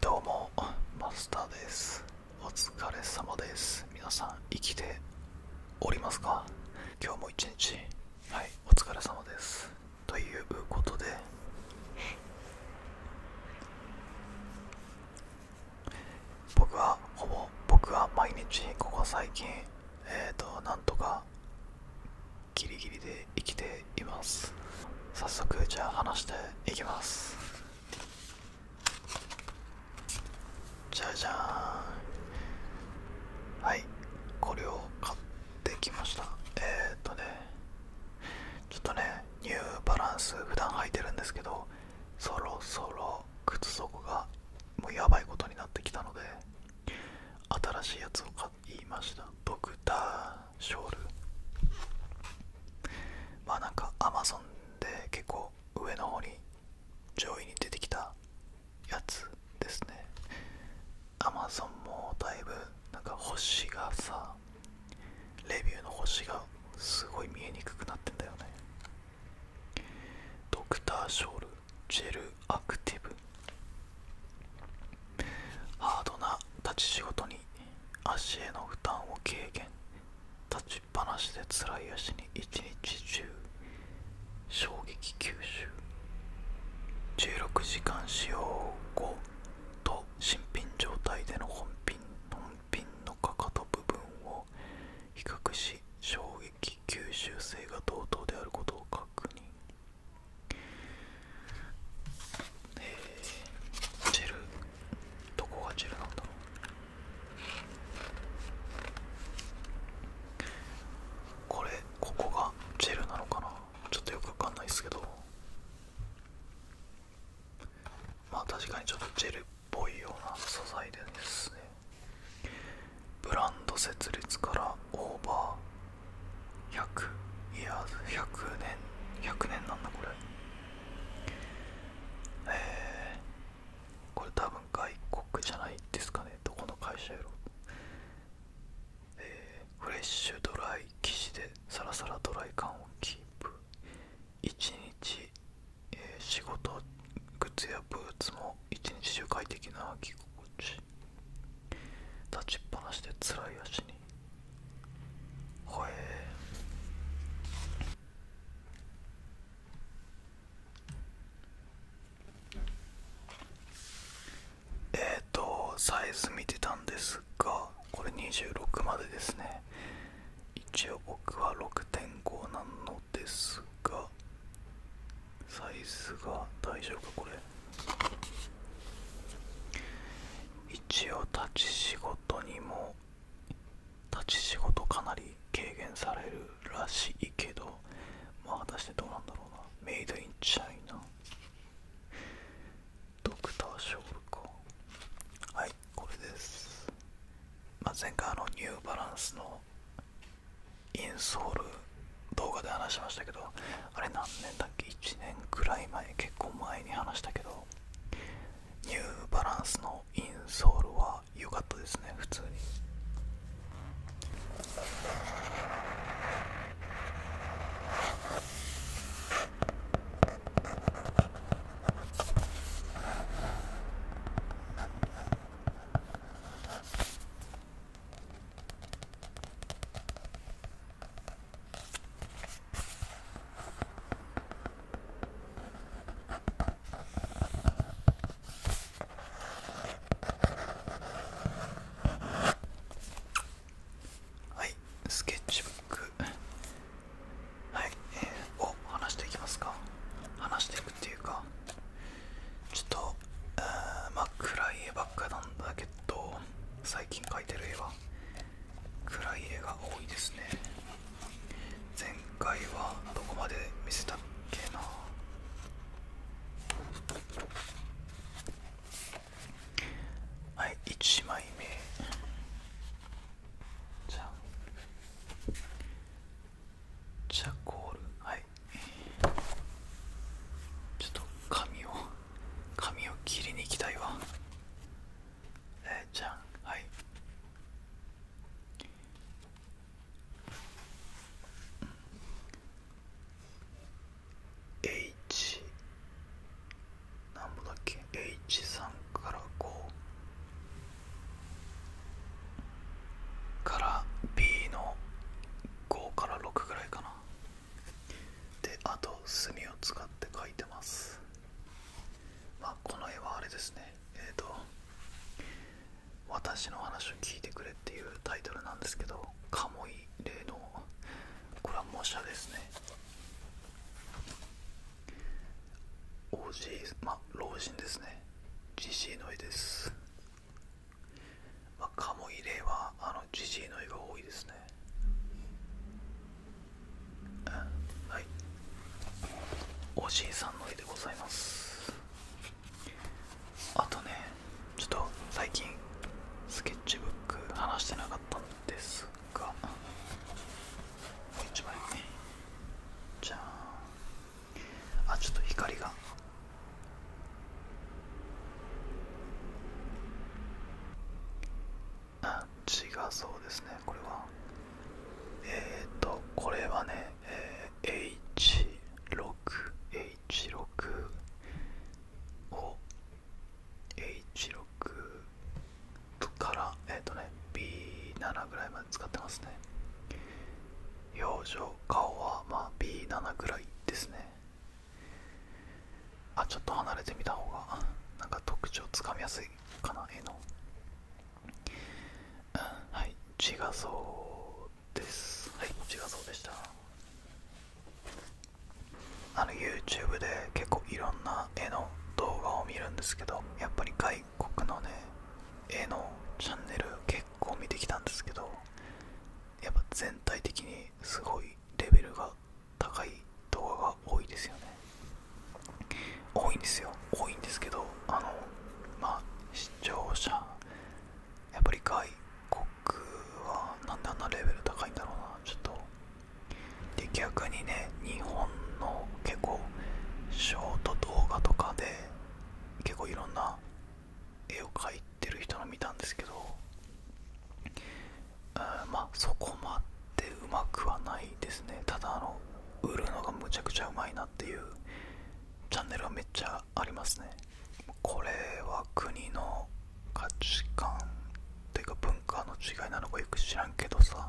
どうもマスターですお疲れ様です皆さん生きておりますか今日も一日はいお疲れ様ですということで僕はほぼ僕は毎日ここ最近えっ、となんとかギリギリで生きています早速じゃあ話していきますじゃじゃーんはいこれを買ってきましたえっとねちょっとねニューバランス普段履いてるんですけどそろそろ靴底がもうやばいことになってきたので新しいやつを買いましたドクター。ショールまあなんかアマゾンで結構上の方に上位に出てきたやつですねアマゾンもだいぶなんか星がさレビューの星がすごい見えにくくなってんだよねドクターショールジェルアクティブハードな立ち仕事に足への負担を軽減立ちっぱなしで辛い足に一日中衝撃吸収16時間使用後と新品状態での本品の本品のかかと部分を比較し衝撃吸収性が同等であることを確認えー、ジェルどこがジェルなんだろうこれここがジェルなのかなちょっとよくわかんないですけどまあ確かにちょっとジェルっぽいような素材でですねブランド設立からオーバー。100いや100年100年なんだこれえこれ多分外国じゃないですかねどこの会社やろえフレッシュドライ生地でサラサラドライ感をキープ1日、え仕事靴やブーツも1日中快適な着心地立ちっぱなしでつらい足にほえー、えっ、とサイズ見てたんですがこれ26までですね一応僕は6.5なのですがサイズが大丈夫かこれ一応立ち仕事にも立ち仕事かなり軽減されるらしいけどまあ果たしてどうなんだろうなメイドインチャイナドクターショールかはいこれです、ま前回あのニューバランスのインソール動画で話しましたけどあれ何年だっけ1年くらい前結構前に話したけどニューバランスのインソールは良かったですね普通にはいスケッチブックはい、えー、を話していきますか話していくっていうかちょっと、えー、まあ暗い絵ばっかなんだけど最近描いてる絵は暗い絵が多いですね前回はどこまで見せたっけなはい1枚目じゃんチャコールはいちょっと紙を髪を切りに行きたいわええ、じゃんはい H。何ぼだっけ H3 から5から B の5から6ぐらいかなであと墨を使って描いてますまこの絵はあれですねえっ、と「私の話を聞いてくれ」っていうタイトルなんですけどカモイ例のこれは模写ですね OG ま老人ですね GC の絵ですまカモイレはあのジジイの絵が多いですね、はいおじいさんの絵でございますあとねちょっと最近スケッチブック話してなかったんですがもう一枚ねじゃああちょっと光があ違うそうですねこれはえっ、とこれはね、えー、H6H6 を H6 からえっ、とね B7 ぐらいまで使ってますね表情顔はまあ B7 ぐらいですねあちょっと離れてみた方がなんか特徴つかみやすいかな絵の、うん、はい自画像ですはい自画像でしたあの YouTube で結構いろんな絵の動画を見るんですけどやっぱり外国のね絵のチャンネル結こう見てきたんですけどやっぱ全体的にすごいレベルが高い動画が多いですよね多いんですよ多いんですけどあのまあ視聴者やっぱり外国はなんであんなレベル高いんだろうなちょっとで逆にね日本の結構ショート動画とかで結構いろんな絵を描いてる人の見たんですけどあまあそこまでうまくはないですねただあの売るのがむちゃくちゃうまいなっていうチャンネルはめっちゃありますねこれは国の価値観というか文化の違いなのかよく知らんけどさ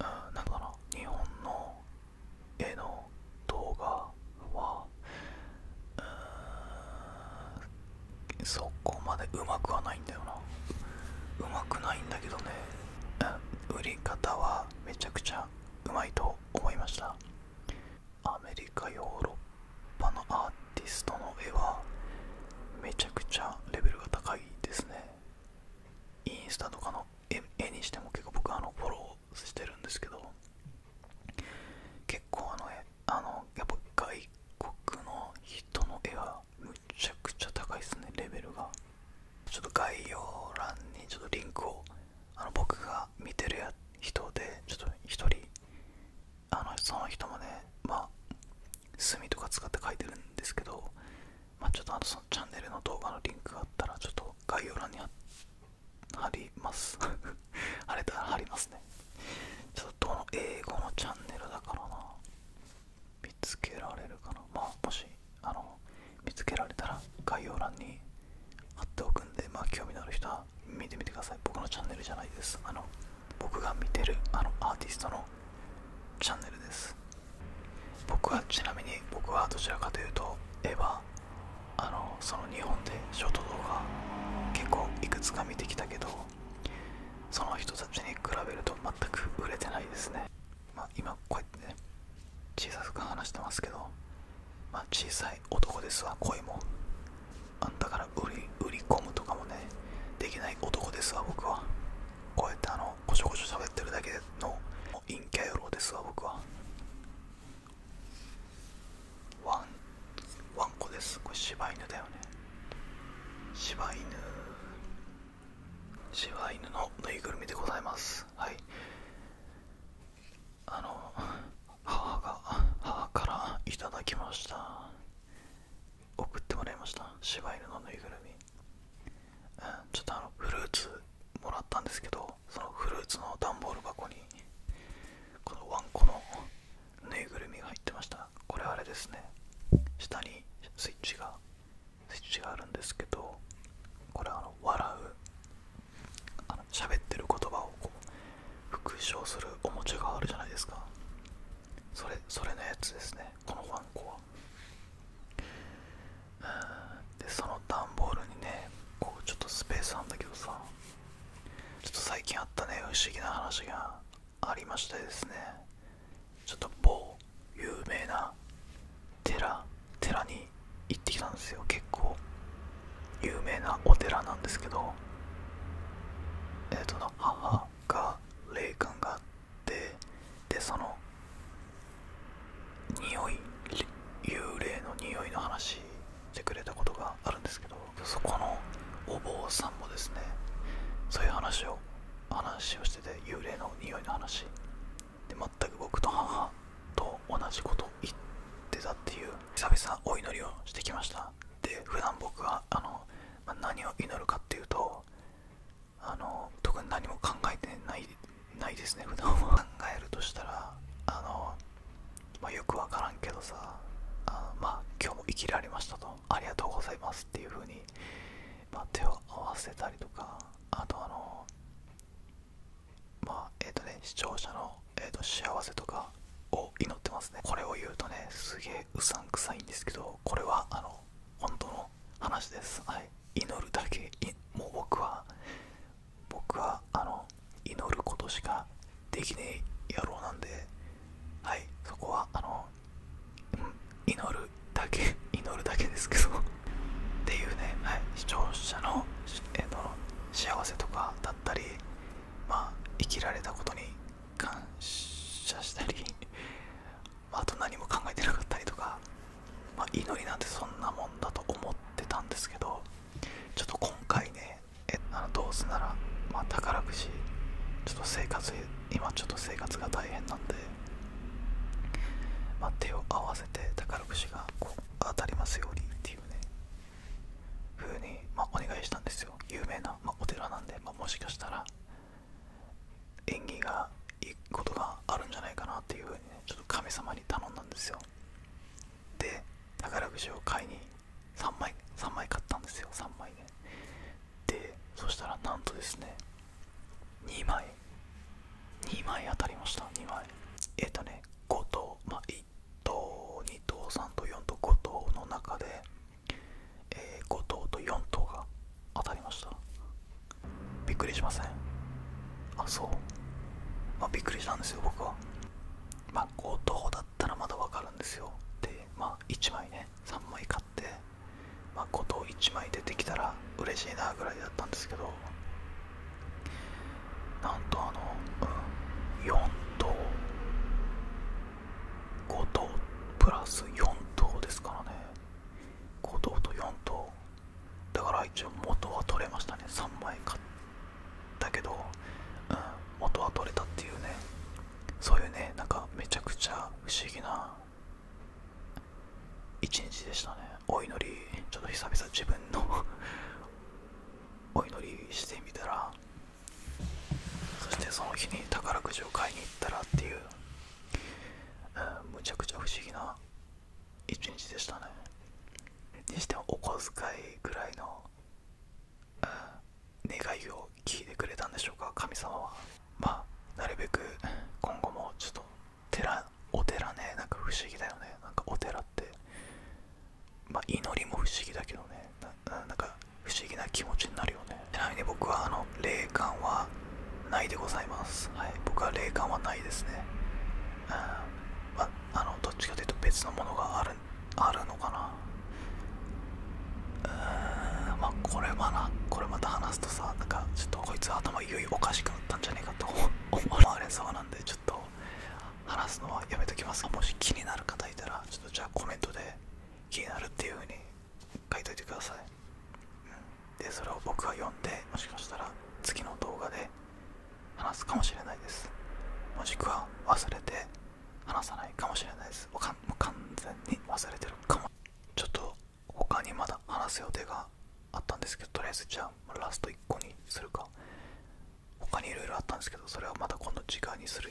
うんなんかな日本の絵の動画はうーんそこまでうまくはないんだよなうまくないんだけどね、売り方はめちゃくちゃうまいと思いましたアメリカヨーロッパのアーティストの絵はめちゃくちゃレベルが高いですねインスタとかの絵にしても結構僕あのフォロしてるんですけど結構あのあのやっぱ外国の人の絵はむちゃくちゃ高いですねレベルがちょっと概要欄にちょっとリンクをあの僕が見てる人でちょっと一人あのその人もねまあ墨とか使って書いてるんですけどまちょっとあのそのチャンネルの動画のリンクがあったらちょっと概要欄に貼っ貼ります 貼れたら貼りますねちょっとどの英語のチャンネルだからな見つけられるかなまもしあの見つけられたら概要欄に貼っておくんでま興味のある人は見てみてください僕のチャンネルじゃないですあの僕が見てるあのアーティストのチャンネルです僕はちなみに僕はどちらかというとエヴァあのその日本でショート動画結構いくつか見てきたけどその人たちに比べると全く売れてないですね、ま今こうやってね小さく話してますけど、まあ、小さい男ですわ恋もあんたから売り売り込むとかもねできない男ですわ僕はこうやってあのこちょこしょ喋ってるだけの陰キャ野郎ですわ僕はワンワンコですこれ柴犬だよね柴犬柴犬のぬいぐるみでございますはいあの母が母からいただきました送ってもらいました柴犬のぬいぐるみ、うん、ちょっとあのフルーツもらったんですけどそのフルーツのダンボール箱にこのワンコのぬいぐるみが入ってましたこれあれですね下にスイッチがスイッチがあるんですけどこれあの笑うあの喋ってる言葉をこう復唱するおもちゃがあるじゃないですかそれそれのやつですねこのワンコはでその段ボールにねこうちょっとスペースあるんだけどさちょっと最近あったね不思議な話がありましてですねちょっと某有名な寺寺に行ってきたんですよ結構有名なお寺なんですけどえっ、ー、と母が霊感があってでその匂い幽霊の匂いの話してくれたことがあるんですけどそこのお坊さんもですねそういう話を話をしてて幽霊の匂いの話で全く僕と母と同じこと言ってたっていう久々お祈りをしてきましたで普段僕はあの、ま何を祈るかっていうとあの特に何も考えてないないですね普段は考えるとしたらあの、まよくわからんけどさあまあ今日も生きられましたとありがとうございますっていう風にま手を合わせたりとかあとあのまあえっ、とね視聴者の、えーと、幸せとかを祈ってますねこれを言うとねすげえうさんくさいんですけどこれはあの本当の話です、はい、祈るだけもう僕は僕はあの祈ることしかできねえ野郎なんではいそこはあの、祈るだけ祈るだけですけどっていうね、視聴者のえの幸せとかだったりま生きられたことに感謝したりあ、と何も考えてなかったりとか、ま祈りなんてそんなもんだと思ってたんですけどちょっと今回ねえあのどうせなら、ま宝くじちょっと生活今ちょっと生活が大変なんで、ま手を合わせて宝くじがこう当たりますようにっていうね風に、まお願いしたんですよ有名な、まお寺なんで、まもしかしたら縁起がいいことがあるんじゃないかなっていうふにねちょっと神様に頼んだんですよで宝くじを買いに3枚3枚買ったんですよ3枚ででそしたらなんとですね2枚2枚当たりました2枚えっ、とね5等ま1等2等3等4等5等の中で、えー、5等と4等が当たりましたびっくりしませんあそうまあ、びっくりしたんですよ僕はまあ強盗だったらまだわかるんですよでまあ1枚ね3枚買ってまあ強盗1枚出てきたら嬉しいなぐらいだったんですけどなんとあの、う4等5等プラス4等ですからね5等と4等だから一応元は取れましたね3枚買ったけど、うん、元は取れたっていうねそういうねなんかめちゃくちゃ不思議な一日でしたねお祈りちょっと久々自分の お祈りしてみたらそしてその日に宝くじを買いに行ったらっていううむちゃくちゃ不思議な一日でしたねにしてもお小遣いぐらいの、願いを聞いてくれたんでしょうか神様はまあなるべく今後もちょっとお寺ねなんか不思議だよねなんかお寺ってまあ祈りも不思議だけどねななんか不思議な気持ちになるよねちなみに僕はあの霊感はないでございます、はい、僕は霊感はないですね、うんまあのどっちかというと別のものがあるのかなうんまあこれはなこれまた話すとさなんかちょっとこいつ頭いよいよおかしくなったんじゃねえかと 思われそうなんでちょっと話すのはやめときますもし気になる方いたらちょっとじゃあコメントで気になるっていう風に書いといてください、うん、でそれを僕が読んでもしかしたら次の動画で話すかもしれないですもしくは忘れて話さないかもしれないです完全に忘れてるかもちょっと他にまだ話す予定があったんですけどとりあえずじゃあラスト1個にするか他にいろいろあったんですけどそれはまだ今度時間にする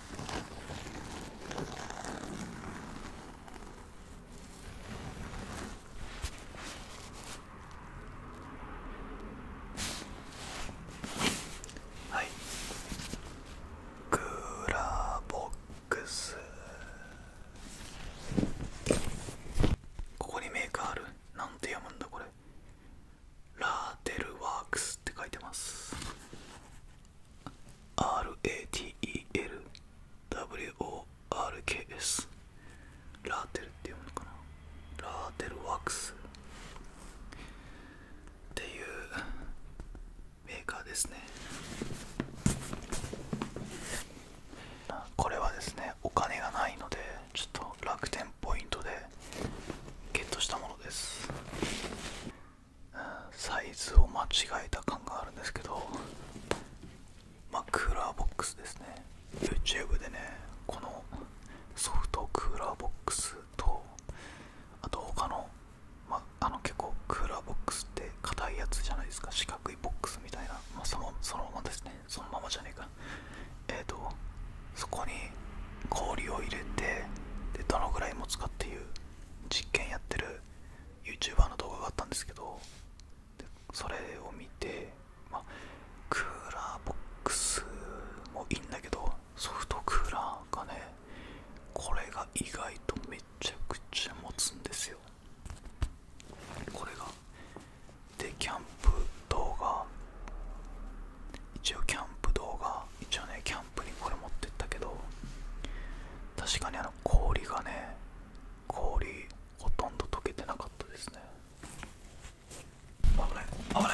はいクーラーボックスここにメーカーあるなんて読むんだこれラーテルワークスって書いてます RATELWORKS ラーテルって読むのかなラーテルワックスっていうメーカーですねこれはですねお金がないのでちょっと楽天ポイントでゲットしたものですサイズを間違えた感があるんですけどまあクーラーボックスですね YouTube でねこのソフトクーラーボックスとあと他のまあ、あの結構クーラーボックスって硬いやつじゃないですか四角いボックスみたいな、まそのそのままですねそのままじゃねえかえっ、とそこに氷を入れてでどのぐらい持つかっていう実験やってる YouTuber の動画があったんですけどそれを見て、まクーラーボックスもいいんだけどソフトクーラーがねこれが意外とめちゃくちゃ持つんですよこれがでキャンプ動画一応キャンプ動画一応ねキャンプにこれ持ってったけど確かにあの氷がね氷ほとんど溶けてなかったですね危ない危ない危ない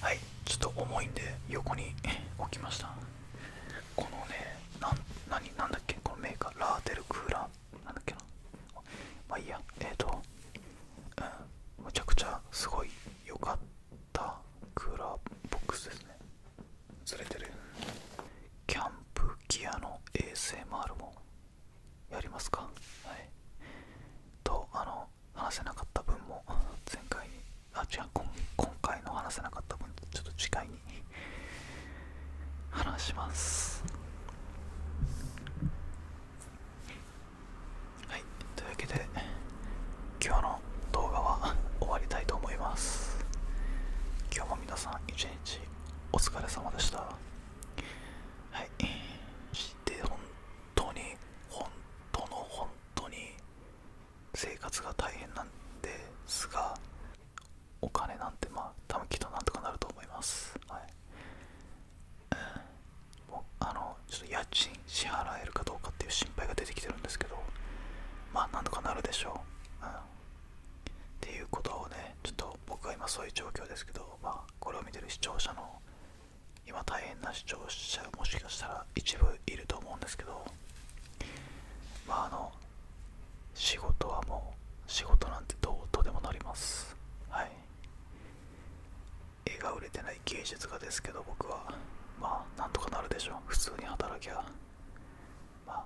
はいちょっと重いんで横に 置きましたこのね何何だっけこのメーカーラーテルクーラーなんだっけなまあいいやえっ、ー、とうんむちゃくちゃすごい良かったタクラボックスですねずれてるキャンプギアの ASMR もやりますかはいとあの話せなかった分も前回にあ違う今回の話せなかった分ちょっと次回に話しますはいというわけで今日の動画は終わりたいと思います今日も皆さん一日お疲れ様でしたはいで本当に本当の本当に生活が大変なんですがお金なんてまあ多分きっとなんとかなると思いますはいあのちょっと家賃支払えるかどうかっていう心配が出てきてるんですけどまあなんとかなるでしょう、うん、っていうことをねちょっと僕は今そういう状況ですけど、まあ、これを見てる視聴者の今大変な視聴者もしかしたら一部いると思うんですけどまああの仕事はもう仕事なんてどうとでもなりますはい絵が売れてない芸術家ですけど僕はまあなんとかなるでしょう。普通に働きゃまあ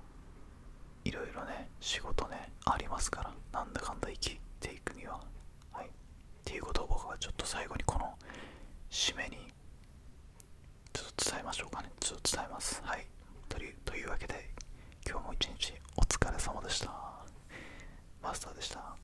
色々ね仕事ねありますからなんだかんだ生きていくにははいっていうことを僕はちょっと最後にこの締めにちょっと伝えましょうかねちょっと伝えますはいというわけで今日も一日お疲れ様でしたマスターでした